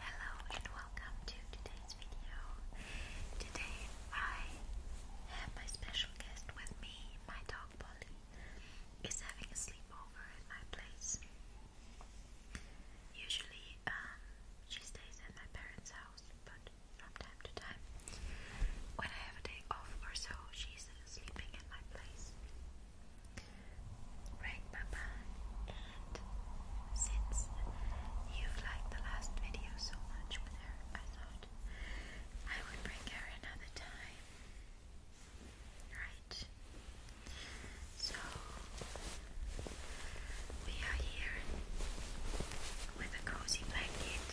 Hello and welcome to today's video. Today I have my special guest with me. My dog Polly is having a sleepover at my place. Usually um, she stays at my parents' house, but from time to time, when I have a day off or so, she's sleeping at my place. Right, Papa? And since you've liked the last video so much with her, I thought I would bring her another time. Right? So, we are here with a cozy blanket.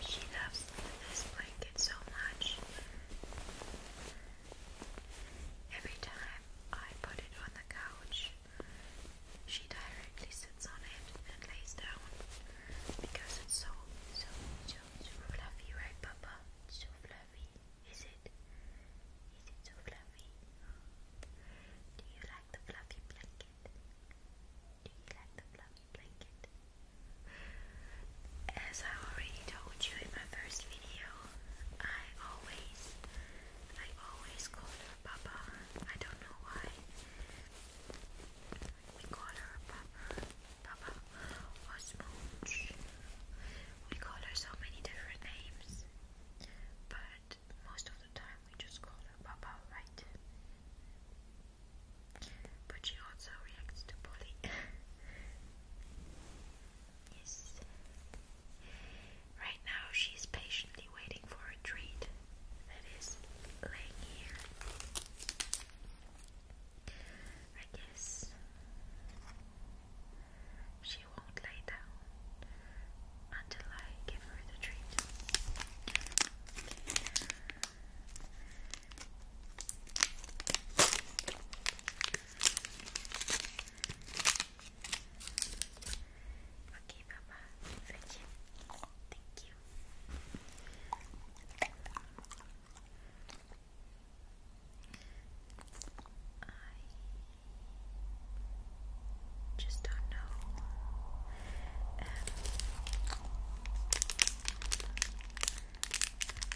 She loves this blanket so much. Every time I put it on the couch, she directly sits on it and lays down because it's so, so, so, fluffy, right, Papa? so fluffy, is it? Is it so fluffy? Do you like the fluffy blanket? Do you like the fluffy blanket? As I already told you in my first video, I always, I always call her Papa. I don't know why. We call her Papa, Papa, or Smooch. We call her so many different names, but most of the time we just call her Papa, right? But she also reacts to bullying. Yes. Right now she's patiently waiting for a treat that is laying here. I guess she won't lay down until I give her the treat. Okay, Papa. Thank you. Thank you. I just don't know. Um,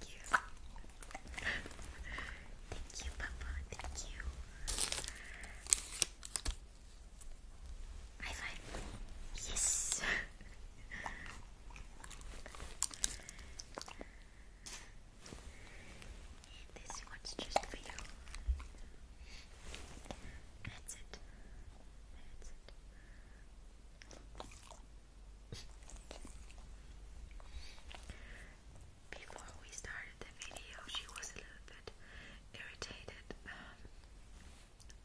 Thank you. Papa. Thank you. High five. Yes. this one's just for you. That's it. That's it. Before we started the video, she was a little bit irritated um,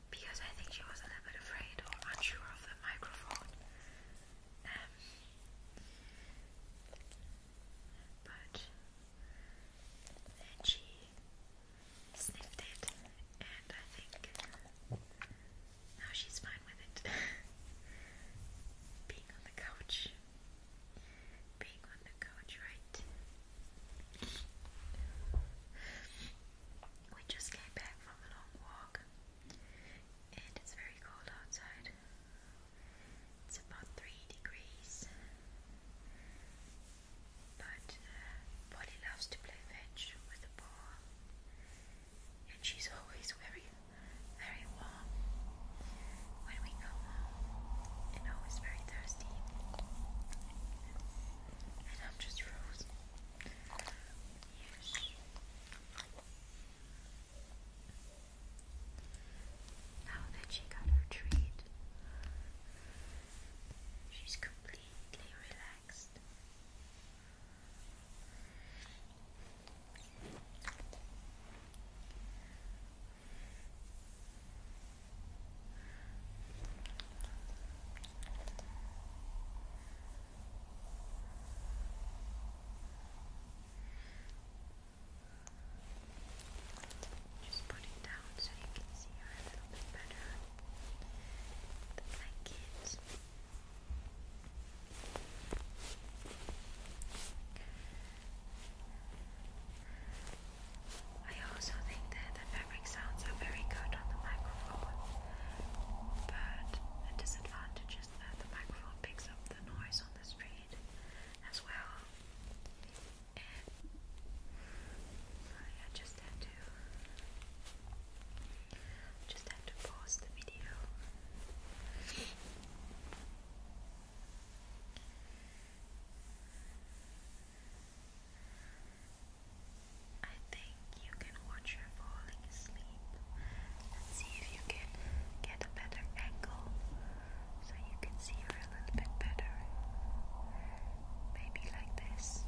because I think she was a little bit afraid or unsure of the microphone. Um, but she sniffed it, and I think now she's fine with it. Being on the couch. Being on the couch, right? We just came back from a long walk and it's very cold outside. It's about 3 degrees. But uh, Polly loves to play fetch with the ball and she's always very, very warm when we go home, and always very thirsty. And I'm just frozen. Now that she got her treat, she's completely relaxed. Just put it down so you can see her a little bit better. The blankets. I also think that the fabric sounds are very good on the microphone, but the disadvantage is that the microphone picks up the noise on the street as well. And just just had to pause the video. I think you can watch her falling asleep. let see if you can get a better angle so you can see her a little bit better. Maybe like this.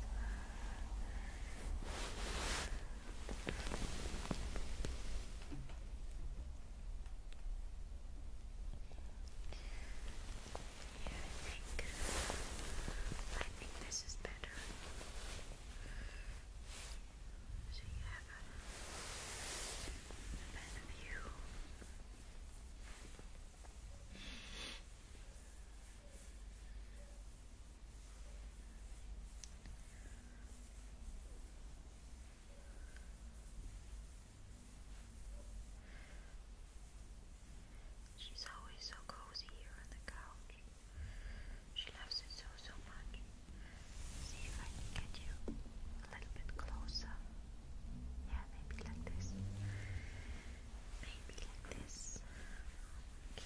I think this is better. So you have a better view. She's always so cozy here on the couch. She loves it so, so much. See if I can get you a little bit closer. Yeah, maybe like this maybe like this. Okay.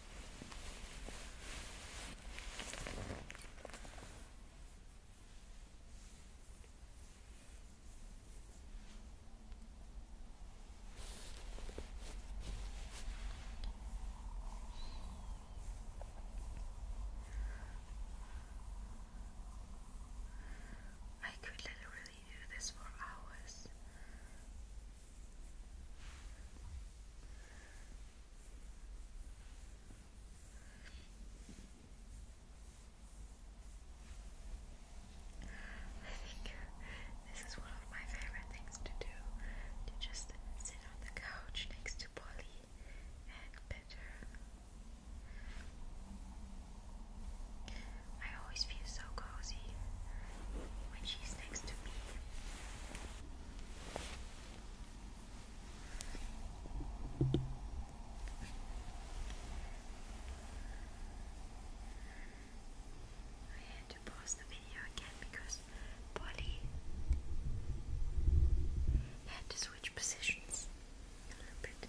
I could literally do this for hours. I think this is one of my favorite things to do to just sit on the couch next to Polly and pet her. I always feel so cozy when she's next to me. I had to pause the video again because Polly had to switch positions a little bit.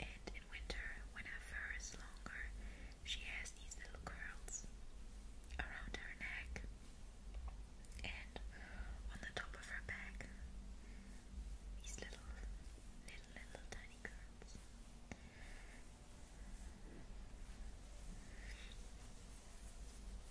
And in winter, when her fur is longer, she has these little curls around her neck and on the top of her back. These little, little, little tiny curls.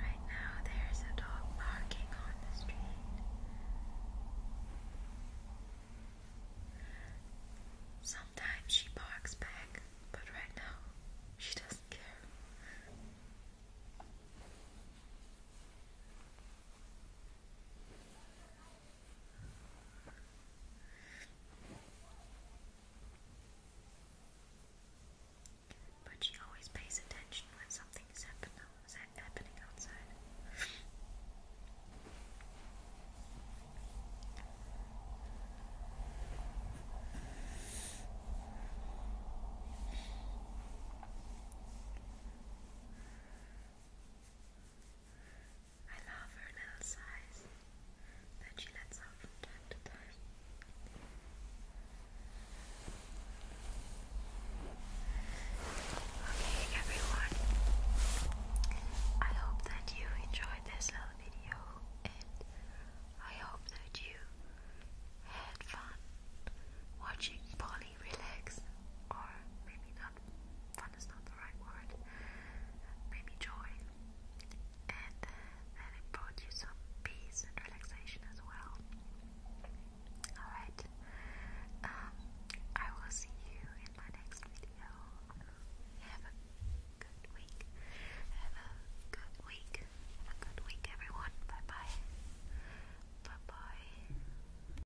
right now, there's a dog barking on the street. Sometimes she barks back, but right now, she doesn't care. But she always pays attention when something's happen happening outside. I Okay, everyone, I hope that you enjoyed this little video, and I hope that you had fun watching Polly relax, or maybe not fun is not the right word. Maybe joy. And uh, it brought you some peace and relaxation as well. Alright. Um, I will see you in my next video. Have a good week. Have a good week. Have a good week everyone. Bye bye. Bye bye.